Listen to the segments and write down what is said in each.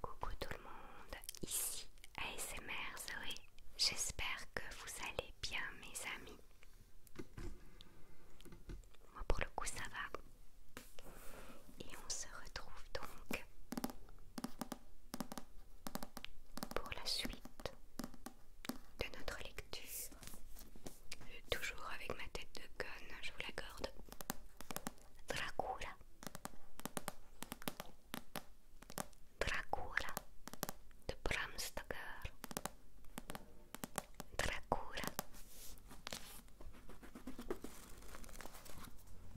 Coucou tout le monde, ici ASMR Zoé, j'espère que vous allez bien mes amis. Moi pour le coup ça va. Et on se retrouve donc pour la suite de notre lecture, toujours avec ma tête de gueule, je vous l'accorde, Dracula. Dracula de Bram Stoker. Dracula.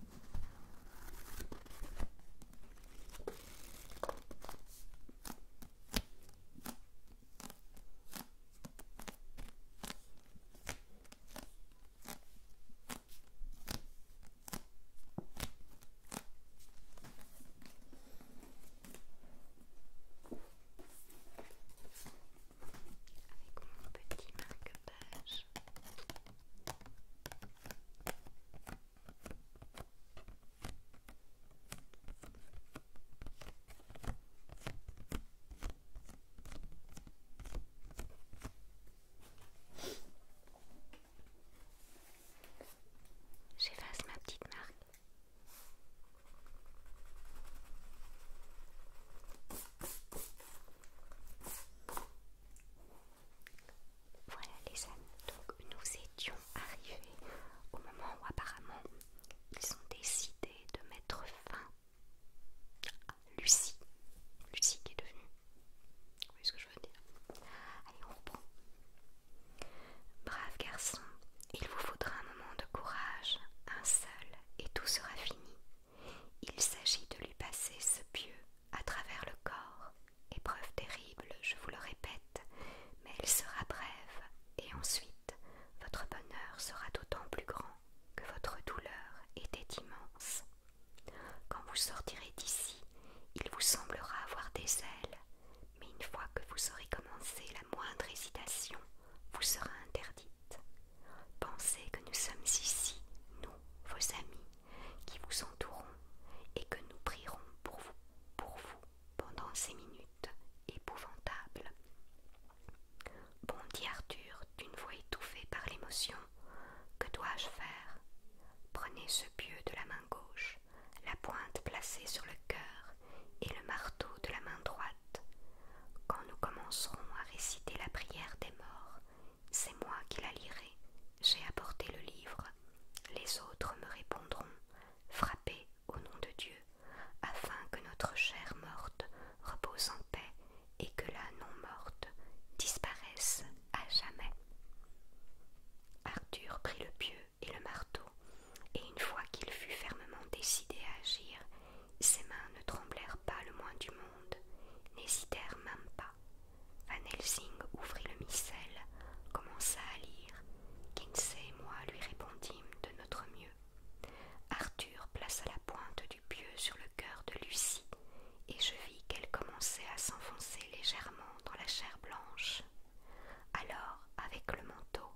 Avec mon petit marque-page. J'efface ma petite marque. Voilà les amis, donc nous étions arrivés au moment où apparemment ils ont décidé de mettre fin à Lucie. Lucie qui est devenue. Vous voyez ce que je veux dire Allez, on reprend. Brave garçon, il vous faudra un moment de courage, un seul, et tout sera fini. Il s'agit de lui passer ce pieu à travers le corps, épreuve terrible, je vous le répète, mais elle sera brève, et ensuite votre bonheur sera d'autant plus grand que votre douleur était immense. Quand vous sortirez d'ici, il vous semblera avoir des ailes, mais une fois que vous aurez commencé la moindre hésitation, vous sera interdite. Pensez que nous sommes ici, nous, vos amis, qui vous entourons et que nous prierons pour vous, pendant ces minutes épouvantables. Bon, dit Arthur d'une voix étouffée par l'émotion. Que dois-je faire Prenez ce pieu de la main gauche, la pointe placée sur le cœur et le marteau de la main droite. Quand nous commencerons à réciter la prière des morts, c'est moi qui la lirai. J'ai apporté le livre. Les autres me répondront Frappez au nom de Dieu, afin que notre chair morte repose en paix et que la non-morte disparaisse à jamais. Arthur prit le pieu et le marteau, et une fois qu'il fut fermement décidé à agir, ses mains ne tremblèrent pas le moins du monde, n'hésitèrent même pas. Van Helsing ouvrit le missel, commença à lire. Kinsey et moi lui répondîmes de notre mieux. Arthur plaça la pointe du pieu sur le cœur de Lucie, et je vis qu'elle commençait à s'enfoncer légèrement dans la chair blanche. Alors, avec le manteau,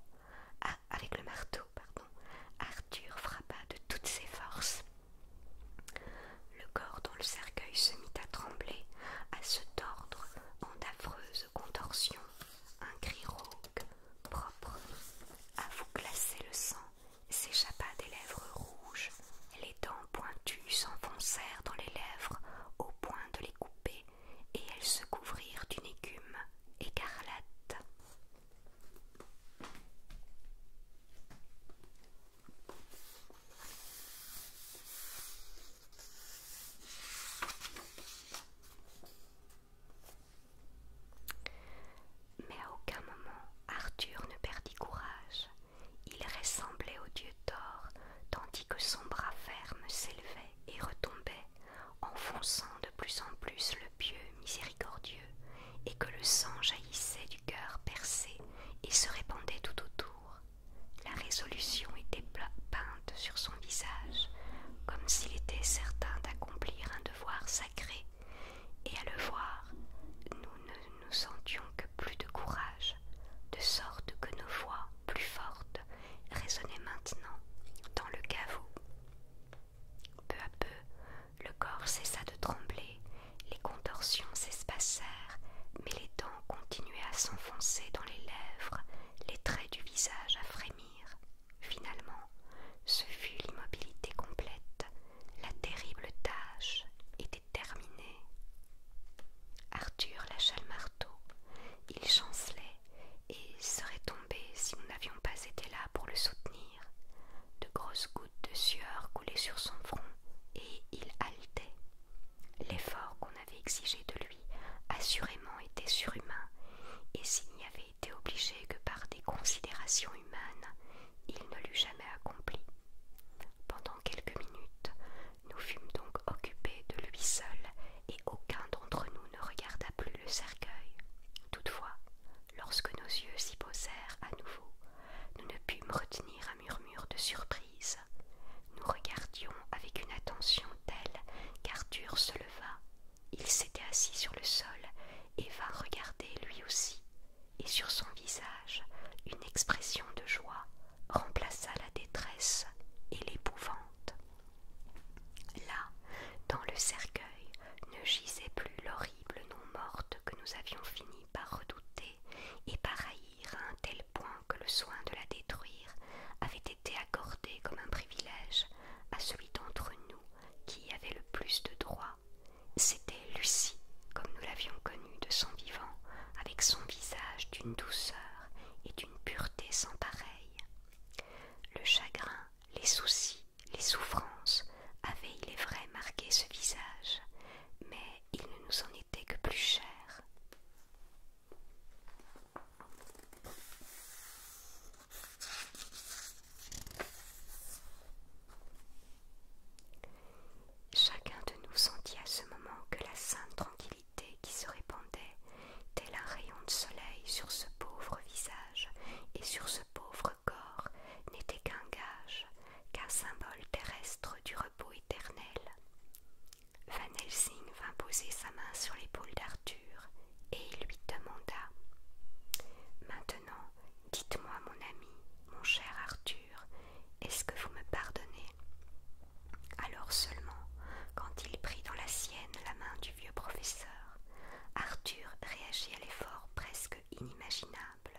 ah, avec le marteau, pardon, Arthur frappa de toutes ses forces. Le corps dont le cercueil se mit à trembler, à se tordre en d'affreuses contorsions, un cri rauque, propre, à vous glacer le sang, s'échappa des lèvres rouges, les dents pointues s'enfoncèrent dans les lèvres au point de les couper, et elles se couvrirent d'une écume écarlate. Mais à aucun moment Arthur ne perdit courage. Il ressemblait au dieu Thor, tandis que son bras ferme s'élevait et retombait, enfonçant de plus en plus le pieux miséricordieux et que le sang jaillissait du cœur percé et se répandait tout autour. La résolution était peinte sur son visage, comme s'il était certain d'accomplir un devoir sacré, et à le voir, nous ne nous sentions que plus de courage, de sorte que nos voix, plus fortes, résonnaient maintenant dans le caveau. Peu à peu, le corps cessa de trembler, les contorsions s'espacèrent, mais les dents continuaient à s'enfoncer dans les lèvres, les traits du visage à frémir. Finalement, ce fut l'immobilité complète, la terrible tâche était terminée. Arthur lâcha le marteau, il chancelait et serait tombé si nous n'avions pas été là pour le soutenir. De grosses de sueur coulait sur son front et il haletait. L'effort qu'on avait exigé de lui assurément était surhumain, et s'il n'y avait été obligé que par des considérations humaines, il ne l'eût jamais accompli. Pendant quelques minutes, nous fûmes donc occupés de lui seul, et aucun d'entre nous ne regarda plus le cercueil. Toutefois, lorsque nos yeux s'y posèrent à nouveau, nous ne pûmes retenir un murmure de surprise. Nous regardions avec une attention telle qu'Arthur se leva. Il s'était assis sur le sol et vint regarder lui aussi, et sur son visage une expression de joie remplaça la détresse et l'épouvante. Là, dans le cercueil, ne gisait plus non morte que nous avions fini par redouter et par haïr à un tel point que le soin de la détruire avait été accordé comme un privilège à celui d'entre nous qui y avait le plus de droit. C'était Lucie, comme nous l'avions connue de son vivant, avec son visage d'une douceur et d'une pureté sans pareille. Le chagrin, les soucis, les souffrances avaient, il est vrai, marqué ce visage, mais il ne nous en était que plus cher. Chacun de nous sentit à ce moment que la sainte tranquillité qui se répandait, tel un rayon de soleil sur ce pauvre visage et sur ce pauvre corps n'était qu'un gage, qu'un symbole terrestre du repos éternel. Van Helsing vint poser sa main sur l'épaule d'Arthur et il lui demanda Maintenant, dites-moi, mon ami, mon cher Arthur, est-ce que vous me pardonnez Alors seulement, quand il prit dans la sienne la main du vieux professeur, Arthur réagit à l'effort presque inimaginable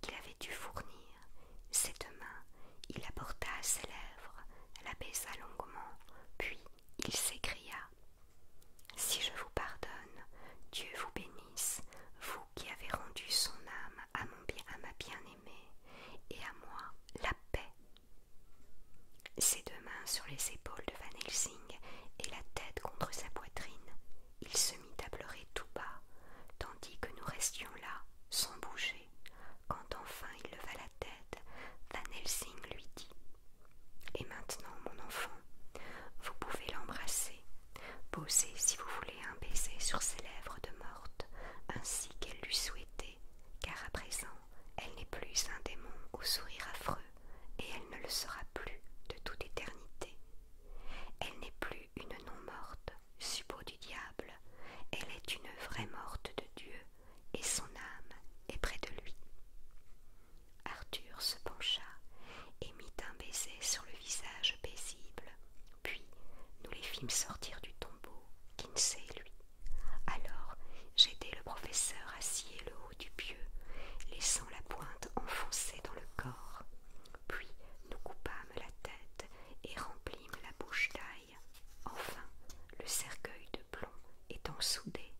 qu'il avait dû fournir. Cette main, il la à ses lèvres, la baisa longuement, puis il s'écria Si je vous pardonne, Dieu vous bénisse, vous qui avez rendu son âme à, ma bien-aimée et à moi la paix. Ses deux mains sur les épaules de Van et la tête contre sa poitrine, il se mit à pleurer tout bas, tandis que nous restions là, sans bouger. Quand enfin il leva la tête, Van Helsing lui dit Et maintenant, mon enfant, vous pouvez l'embrasser, poser si vous voulez un baiser sur ses lèvres de morte, ainsi qu'elle lui souhaitait, car à présent elle n'est plus un démon au sourire affreux, et elle ne le sera plus de toute éternité. Elle n'est plus une non-morte, suppôt du diable, elle est une vraie morte de Dieu, et son âme est près de lui. Arthur se pencha et mit un baiser sur le visage paisible, puis nous les fîmes sortir du tombeau, Kinsey lui. Alors j'étais le professeur à scier le du pieu, laissant la pointe enfoncée dans le corps. Puis nous coupâmes la tête et remplîmes la bouche d'ail. Enfin, le cercueil de plomb étant soudé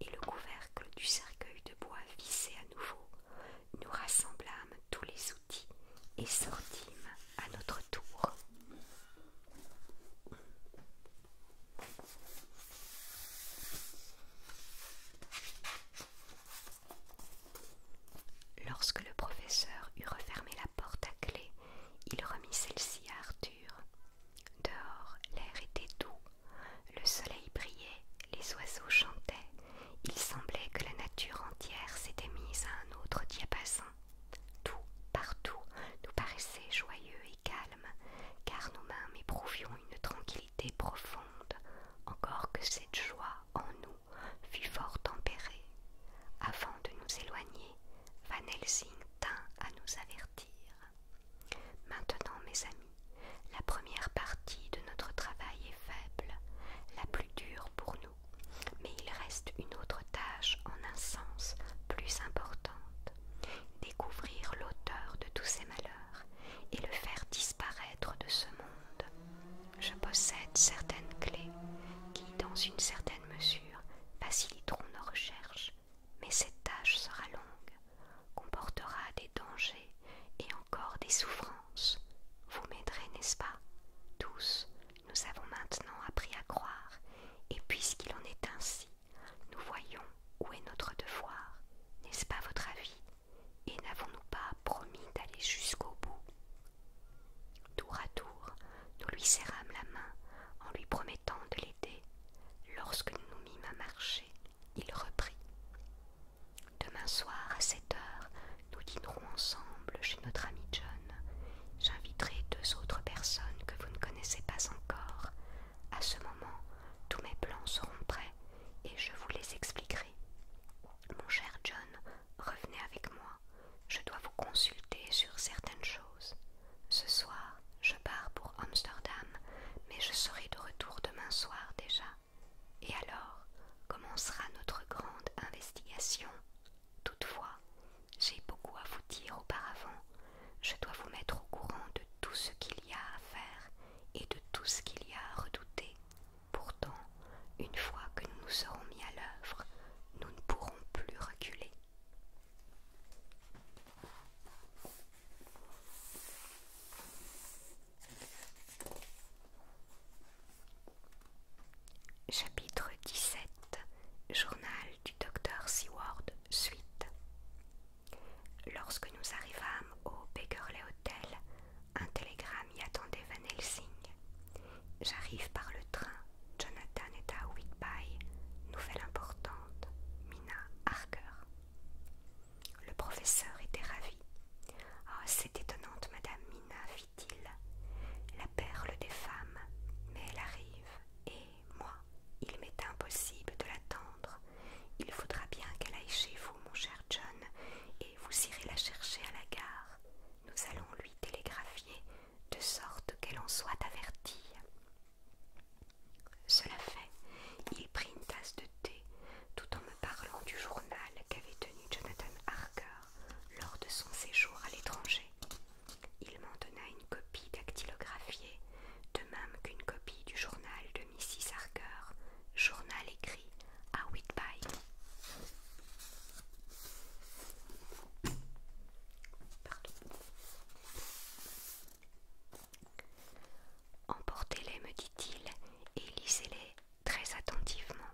et le couvercle du cercueil de bois vissé à nouveau, nous rassemblâmes tous les outils et sortîmes à notre tour. Lorsque le professeur eut refermé la porte à clé, il remit celle-ci à Arthur. Dehors, l'air était doux, le soleil brillait, les oiseaux chantaient, il semblait que la nature entière s'était mise à un autre diapason. Tout, partout, nous paraissait joyeux et calme, car nous-mêmes éprouvions une tranquillité profonde, encore que cette joie en nous fût fort tempérée. Avant de nous éloigner, Van Helsing tint à nous avertir. Maintenant, mes amis, la première partie de notre travail est faible, la plus dure pour nous, mais il reste une autre tâche en un sens plus importante, découvrir l'auteur de tous ces malheurs et le faire disparaître de ce monde. Je possède certaines clés qui, dans une certaine mesure, faciliteront nos recherches, mais cette tâche sera longue, comportera des dangers et encore des souffrances. Vous m'aiderez, n'est-ce pas Tous, nous avons maintenant appris à croire, et puisqu'il en est ainsi, nous voyons où est notre devoir, n'est-ce pas votre avis Et n'avons-nous pas promis d'aller jusqu'au bout Tour à tour, nous lui serrâmes la main en lui promettant de l'aider. Lorsque nous nous mîmes à marcher, il reprit. Demain soir, à sept heures, nous dînerons ensemble chez notre ami John. J'inviterai deux autres personnes que vous ne connaissez pas encore. À ce moment, tous mes plans seront prêts et je vous les expliquerai. Mon cher John, revenez avec moi. Je dois vous consulter sur certaines choses. Ce soir, je pars pour Amsterdam, mais je serai de retour demain soir déjà. Et alors commencera notre grande investigation. Toutefois, j'ai beaucoup à vous dire auparavant je dois vous mettre au courant de tout ce qu'il y a à faire et de tout ce qu'il y a à redouter. Pourtant, une fois que nous nous serons mis à l'œuvre, nous ne pourrons plus reculer. Chapitre 17 Journal du docteur Seward Suite Lorsque nous arrivâmes au Bakerley Hotel, un télégramme y attendait Van Helsing. J'arrive par le train. Jonathan est à Whitby. Nouvelle importante. Mina Harker. Le professeur était ravi. Ah, c'est étonnante, Madame Mina, fit-il. La perle des femmes. Mais elle arrive et moi, il m'est impossible de l'attendre. Il faudra bien qu'elle aille chez vous, mon cher John, et vous irez la chercher à la gare. Nous allons lui télégraphier de sorte qu'elle en soit avertie. Cela fait, il prit une tasse de thé tout en me parlant du journal qu'avait tenu Jonathan Harker lors de son séjour à l'étranger. Il m'en donna une copie dactylographiée de même qu'une copie du journal de Mrs. Harker, journal écrit à Whitby. Emportez-les, me dit-il, et lisez-les très attentivement.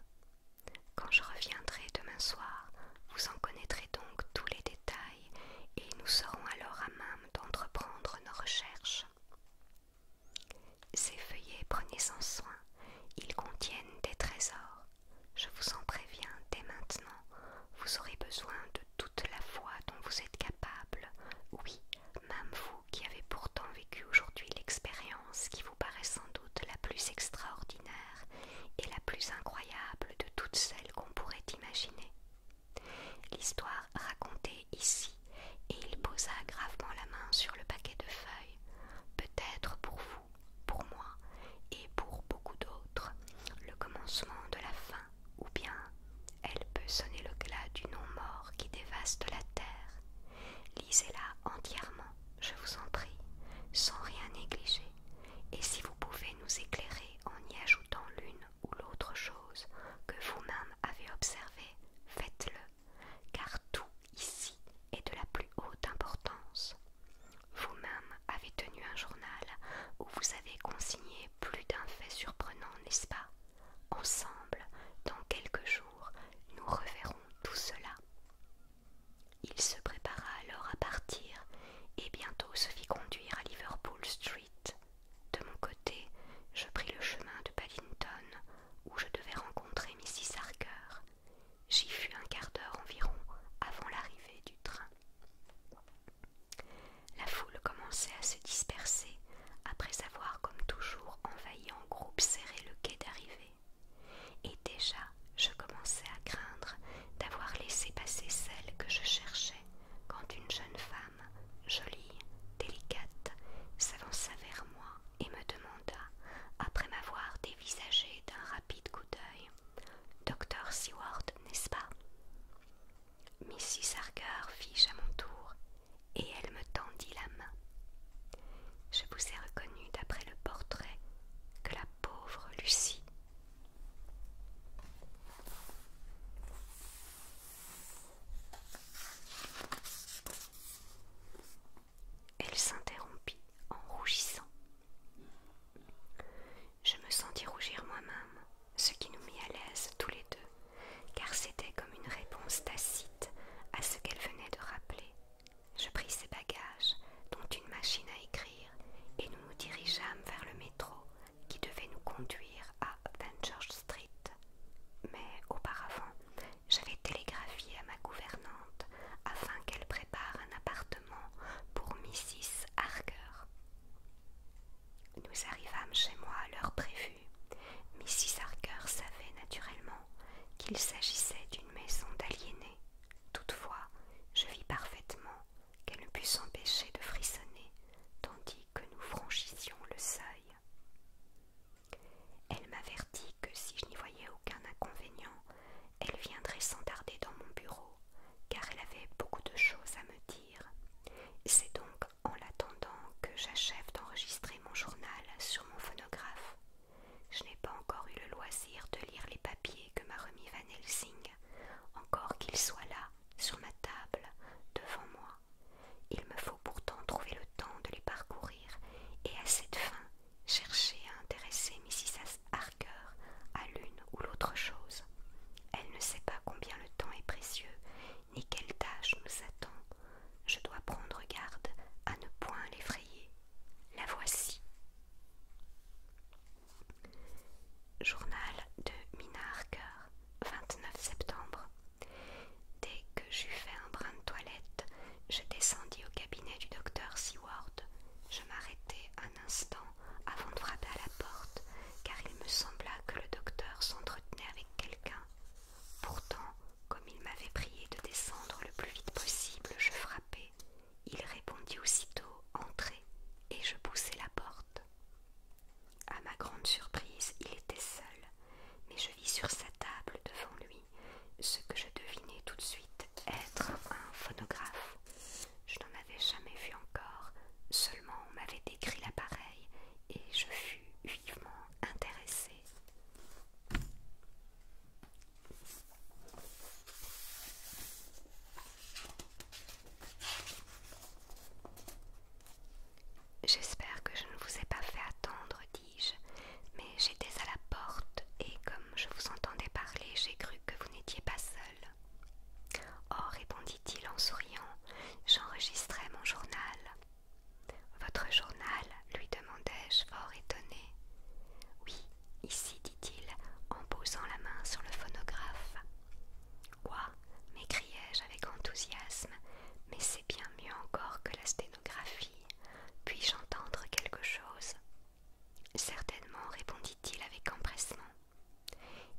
Quand je reviendrai demain soir, vous en connaîtrez donc tous les détails, et nous serons alors à main d'entreprendre nos recherches. Ces feuillets, prenez en soin, ils contiennent des trésors. Je vous en préviens dès maintenant, vous aurez besoin de toute la foi dont vous êtes capable. Oui, même vous qui avez pourtant vécu aujourd'hui l'expérience qui vous paraît sans doute la plus extraordinaire et la plus incroyable de toutes celles qu'on pourrait imaginer. L'histoire racontée ici, et il posa gravement la main sur le paquet de feuilles. Peut-être pour vous, pour moi, et pour beaucoup d'autres, le commencement de la fin, ou bien elle peut sonner le glas du non-mort qui dévaste la terre. Lisez-la entièrement, je vous en prie, sans rien négliger, et si vous pouvez nous éclairer en y ajoutant l'une ou l'autre chose que vous-même avez observée, faites-le, car tout ici est de la plus haute importance. Vous-même avez tenu un journal où vous avez consigné plus d'un fait surprenant, n'est-ce pas Ensemble, dans quelques jours, nous reverrons tout cela. Il se prépara alors à partir et bientôt se fit conduire à Liverpool Street de mon côté, je pris le chemin de Paddington, où je devais rencontrer Mrs. Harker. J'y fus un quart d'heure environ avant l'arrivée du train. La foule commençait à se disperser après avoir, comme toujours, envahi en groupe serré le quai d'arrivée. Et déjà, je commençais à craindre d'avoir laissé passer celle que je cherchais quand une jeune femme, jolie, délicate, s'avança vers moi et me demanda, après m'avoir dévisagé d'un rapide coup d'œil, Docteur Seward, n'est-ce pas Mrs. Harker fiche à mon tour et elle me tendit la main. Je vous ai reconnu d'après le portrait que la pauvre Lucie elle s'interrompit en rougissant. Je me sentis rougir moi-même, ce qui nous mit à l'aise tous les deux, car c'était comme une réponse tacite à ce qu'elle venait de rappeler. Je pris ses bagages, dont une machine à écrire, et nous nous dirigeâmes vers le métro qui devait nous conduire à George Street. Mais auparavant, j'avais télégraphié à ma gouvernante afin qu'elle prépare un appartement pour Mrs. Harker. Nous arrivâmes chez moi à l'heure prévue. Mrs. Harker savait naturellement qu'il s'agissait d'une maison d'aliénés. Toutefois, je vis parfaitement qu'elle ne put s'empêcher de frissonner tandis que nous franchissions le seuil. Elle m'avertit que si je n'y voyais aucun inconvénient, elle viendrait sans tarder dans mon bureau, car elle avait beaucoup de choses à me dire. C'est donc en l'attendant que j'achève d'enregistrer mon journal sur mon phonographe. Je n'ai pas encore eu le loisir de lire les papiers que m'a remis Van Helsing, encore qu'il soit là, sur ma table, devant moi. Il me faut pourtant trouver le temps de les parcourir et à cette fin chercher à intéresser Mrs. Harker à l'une ou l'autre chose. Elle ne sait pas combien le temps est précieux ni quelle tâche nous attend. Je dois prendre garde à ne point l'effrayer. La voici. Journal de Mina Harker, 29 septembre. Dès que j'eus fait un brin de toilette, je descendis au cabinet du docteur Seward. Je m'arrêtai un instant avant de frapper à la porte, car il me sembla que le docteur s'entretenait avec quelqu'un. Pourtant, comme il m'avait prié de descendre le plus vite possible, je frappai, il répondit aussitôt Entrez, et je poussai la porte. À ma grande surprise, il était seul, mais je vis sur sa table devant lui ce que je devinais tout de suite être un phonographe. Je n'en avais jamais vu encore, seulement on m'avait décrit l'appareil et je fus vivement intéressée. J'espère que je ne vous ai pas fait attendre, dis-je, mais j'étais à la porte et comme je vous entendais parler, j'ai cru que vous n'étiez pas seul. Oh, répondit-il en souriant, j'enregistrais mon journal. Votre journal lui demandai-je, fort étonné. Oui, Ici, dit-il, en posant la main sur le phonographe. Quoi m'écriai-je avec enthousiasme, mais c'est bien mieux encore que la sténographie. Puis-je entendre quelque chose Certainement, répondit-il avec empressement.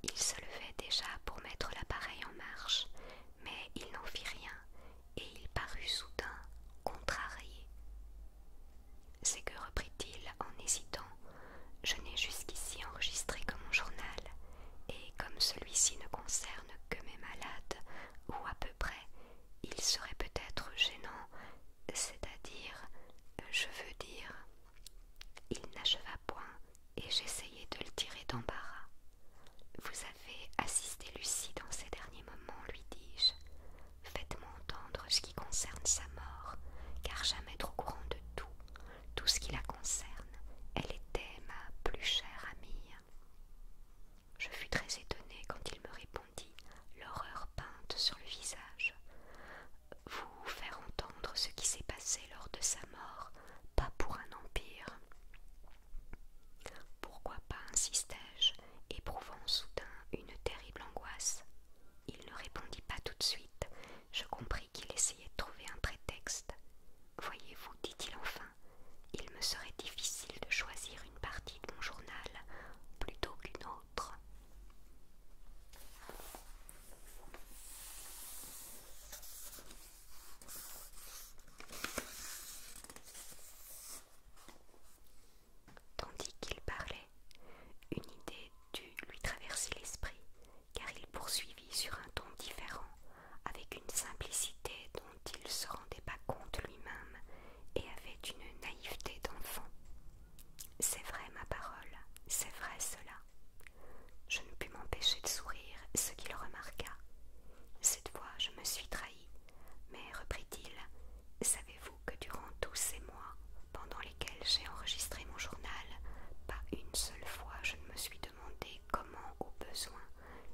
Il se levait déjà pour mettre l'appareil en marche, mais il n'en fit rien, et il parut soudain contrarié c'est que, reprit-il en hésitant, je n'ai jusqu'ici enregistré que mon journal, et comme celui-ci ne concerne que mes malades, ou à peu près, il serait peut-être gênant, c'est-à-dire, je veux dire. Il n'acheva point, et j'essayai de le tirer d'embarras. Vous avez assisté Lucie dans ces derniers moments, lui dis-je. Faites-moi entendre ce qui concerne sa mort, car jamais trop courant de tout, tout ce qui la concerne, elle était ma plus chère amie. Je fus très étonnée quand il me répondit, l'horreur peinte sur le visage. Vous faire entendre ce qui s'est passé lors de sa mort, pas pour un empire. Pourquoi pas, insistai-je, éprouvant soudain une terrible angoisse. Il ne répondit pas tout de suite. Je compris qu'il essayait de trouver un prétexte. Voyez-vous, dit-il enfin, il me serait difficile de choisir une partie de mon journal plutôt qu'une autre. Tandis qu'il parlait, une idée dut lui traverser l'esprit, car il poursuivit sur un ton différent, avec une simplicité dont il se rendait pas compte lui-même et avait une naïveté d'enfant. C'est vrai, ma parole, c'est vrai cela. Je ne pus m'empêcher de sourire, ce qu'il remarqua. Cette fois, je me suis trahi, mais reprit-il, savez-vous que durant tous ces mois, pendant lesquelles j'ai enregistré mon journal, pas une seule fois je ne me suis demandé comment, au besoin,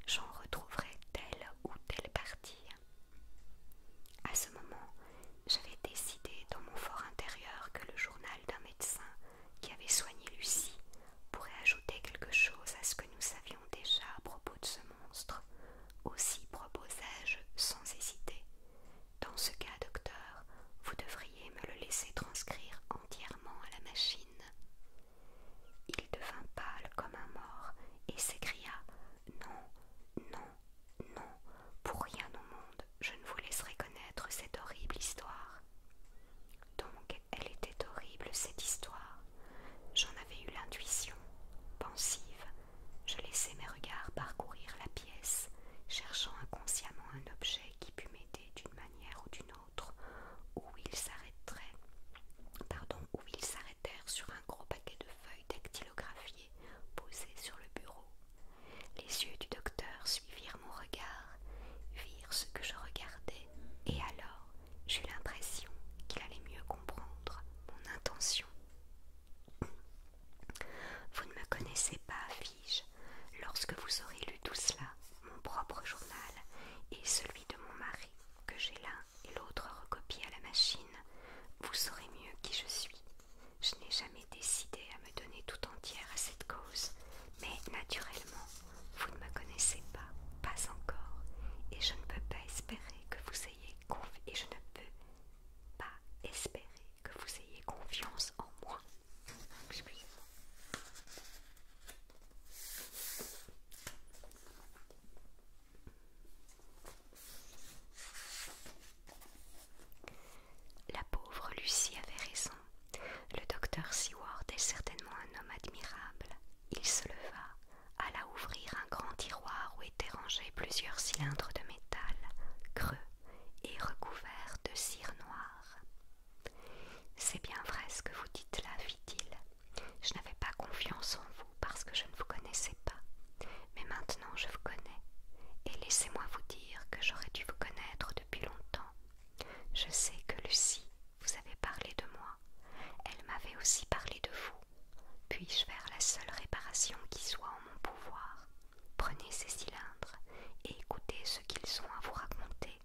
j'en retrouverais telle ou telle partie. À ce moment, j'avais décidé dans mon fort intérieur que le journal d'un médecin qui avait soigné Lucie pourrait ajouter quelque chose à ce que nous savions déjà à propos de ce monstre, aussi proposai-je sans hésiter. Dans ce cas, docteur, vous devriez me le laisser transcrire entièrement à la machine. Il devint pâle comme un mort et s'écria Non, non, non, pour rien au monde, je ne vous laisserai connaître cette horrible histoire. Donc, elle était horrible, cette histoire. J'en avais eu l'intuition. Pensive, je laissai mes regards parcourir la pièce, cherchant inconsciemment un objet qui pût m'aider d'une manière ou d'une autre, où ils s'arrêteraient, pardon, où s'arrêtèrent sur un gros paquet de feuilles dactylographiées posées sur le bureau. Les yeux du docteur suivirent mon regard, virent ce que je regardais, et alors j'eus l'impression qu'il allait mieux comprendre mon intention. Vous ne me connaissez pas, fis-je. Lorsque vous aurez lu tout cela, mon propre journal et celui de mon mari, que j'ai l'un et l'autre recopié à la machine, vous saurez mieux qui je suis. Je n'ai jamais décidé à me donner tout entière à cette cause, mais naturellement, vous ne me connaissez pas, pas encore, et je ne peux pas espérer que vous ayez confiance et je ne peux pas espérer que vous ayez confiance en moi. Excusez-moi. La pauvre Lucie avait raison. Le docteur Seward est certainement un homme admirable. Il se leva, la ouvrir un grand tiroir où étaient rangés plusieurs cylindres de métal, creux et recouverts de cire noire. C'est bien vrai ce que vous dites là, fit-il. Je n'avais pas confiance en vous parce que je ne vous connaissais pas, mais maintenant je vous connais, et laissez-moi vous dire que j'aurais dû vous connaître depuis longtemps. Je sais que Lucie vous avait parlé de moi, elle m'avait aussi parlé de vous, puis-je faire la seule réparation qui soit en mon pouvoir Prenez ces cylindres et écoutez ce qu'ils ont à vous raconter.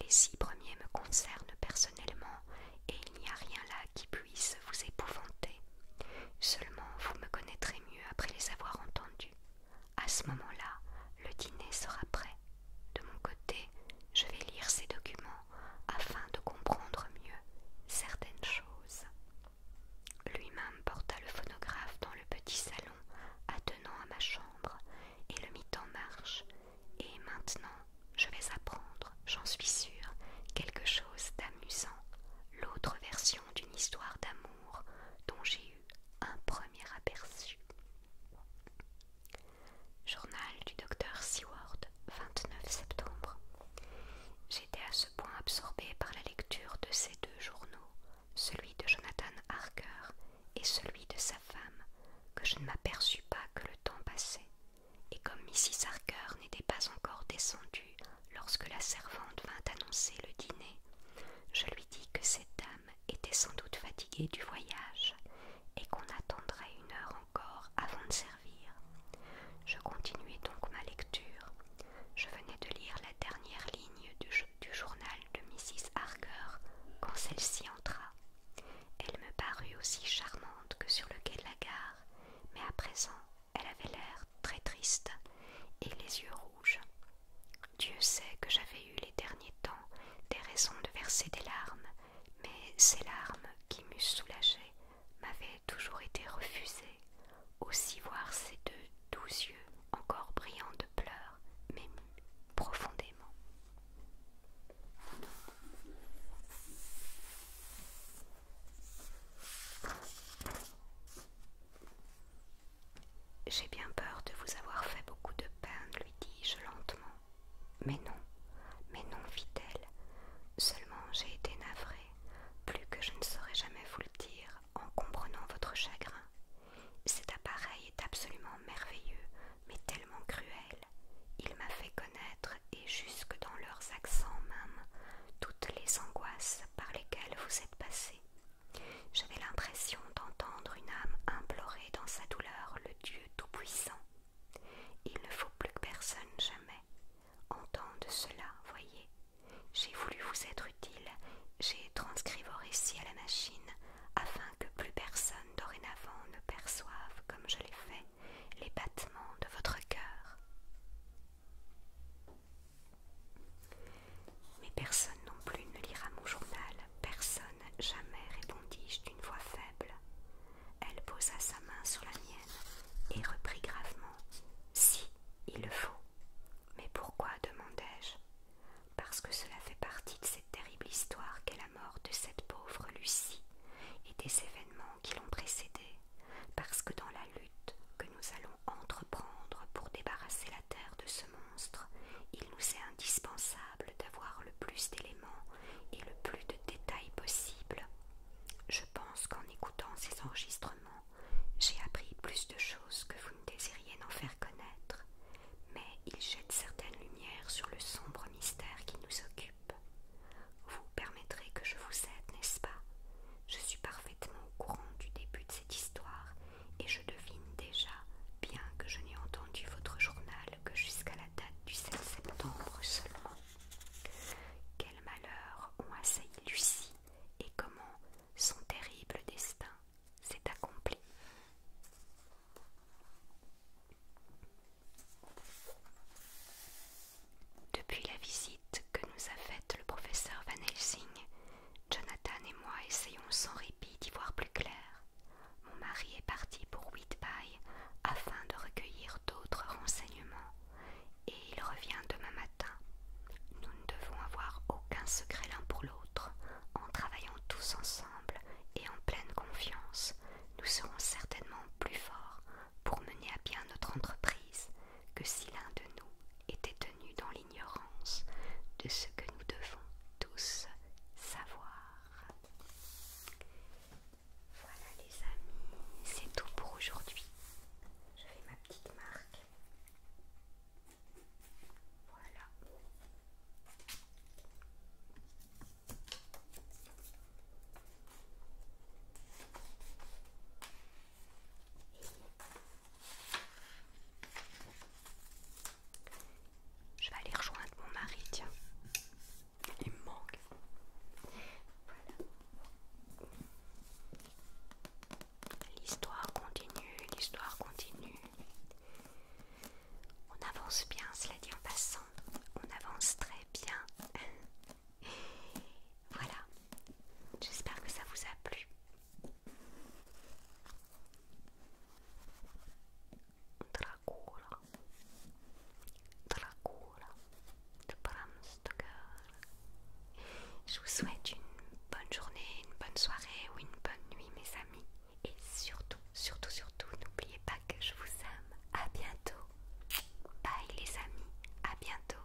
Les six premiers me concernent personnellement et il n'y a rien là qui puisse vous épouvanter. Seulement vous me connaîtrez mieux après les avoir entendus. À ce moment-là, le dîner sera prêt. De mon côté, je vais lire ces documents afin de comprendre mieux certaines choses. Lui-même porta le phonographe dans le petit salon attenant à ma chambre et le mit en marche. Et maintenant, je vais apprendre, j'en suis sûre, quelque chose d'amusant, l'autre version d'une histoire d'amour dont j'ai eu un premier aperçu. Journal du docteur Seward, 29 septembre. J'étais point absorbé par la lecture de ces deux journaux, celui de Jonathan Harker et celui de sa femme, que je ne m'aperçus pas que le temps passait, et comme Mrs. Harker n'était pas encore descendue lorsque la servante vint annoncer le dîner, je lui dis que cette dame était sans doute fatiguée du voyage et qu'on attendrait une heure encore avant de servir. Je continuai donc ma lecture. Je venais de lire la dernière ligne du, journal de Mrs. Harker quand celle-ci entra. Elle me parut aussi charmante que sur le quai de la gare, mais à présent elle avait l'air très triste et les yeux rouges. Dieu sait que j'avais eu les derniers temps des raisons de verser des larmes, mais ces larmes qui m'eussent soulagée m'avaient toujours été refusée, aussi voir ces deux doux yeux encore brillants de pleurs, mais profondément. J'ai bien peur de vous avoir fait beaucoup de peine, lui dis-je lentement. Mais non, mais non, fit-elle. Seulement j'ai été navrée plus que je ne saurais jamais vous le dire en comprenant votre chagrin. Cet appareil est absolument merveilleux, mais tellement cruel. Il m'a fait connaître, et jusque dans leurs accents même, toutes les angoisses par lesquelles vous êtes passé. J'avais l'impression d'entendre une âme implorer dans sa douleur le Dieu Tout-Puissant. Il ne faut plus que personne jamais, de cela, voyez. J'ai voulu vous être utile, j'ai transcrit vos récits à la machine, afin que plus personne dorénavant ne perçoive, comme je l'ai fait, les battements de votre cœur. Mais personne non plus ne lira mon journal, personne jamais, répondis-je d'une voix faible. Elle posa sa main sur la mienne et reprit gravement Si, il le faut. Mais pourquoi demandai-je Parce que cela fait partie de cette terrible histoire qu'est la mort de cette pauvre Lucie et des événements qui l'ont précédée, parce que dans la lutte que nous allons entreprendre pour débarrasser la terre de ce monstre, il nous est indispensable d'avoir le plus d'éléments et le plus de détails possibles. » Je pense qu'en écoutant ces enregistrements, j'ai appris plus de choses que vous ne désiriez n'en faire connaître, mais ils jettent certaines lumières sur le sombre mystère qui nous occupe. Vous permettrez que je vous aide, n'est-ce pas Je suis parfaitement au courant du début de cette histoire et je devine déjà, bien que je n'ai entendu votre journal que jusqu'à la date du 7 septembre seulement. Quels malheurs ont assailli Lucie et comment son terrible destin s'est accompli. Depuis la visite que nous a faite le professeur Van Helsing, Jonathan et moi essayons sans répit d'y voir plus clair. Mon mari est parti pour afin de recueillir d'autres renseignements et il revient demain matin. Nous ne devons avoir aucun secret l'un pour l'autre. En travaillant tous ensemble et en pleine confiance, nous serons certainement plus forts pour mener à bien notre entreprise que si l'un de nous était tenu dans l'ignorance de ce que nous devons tous savoir. Voilà les amis, c'est tout pour aujourd'hui. Je fais ma petite marque. Voilà. Je vais aller rejoindre mon mari, tiens. Il me manque. L'histoire continue, l'histoire continue. On avance bien, cela dit en passant. On avance très bien. voilà. J'espère que ça vous a plu. là je vous souhaite une bonne journée, une bonne soirée ou une bonne nuit mes amis. Et surtout, surtout, surtout, n'oubliez pas que je vous aime. A bientôt. Bye les amis. À bientôt.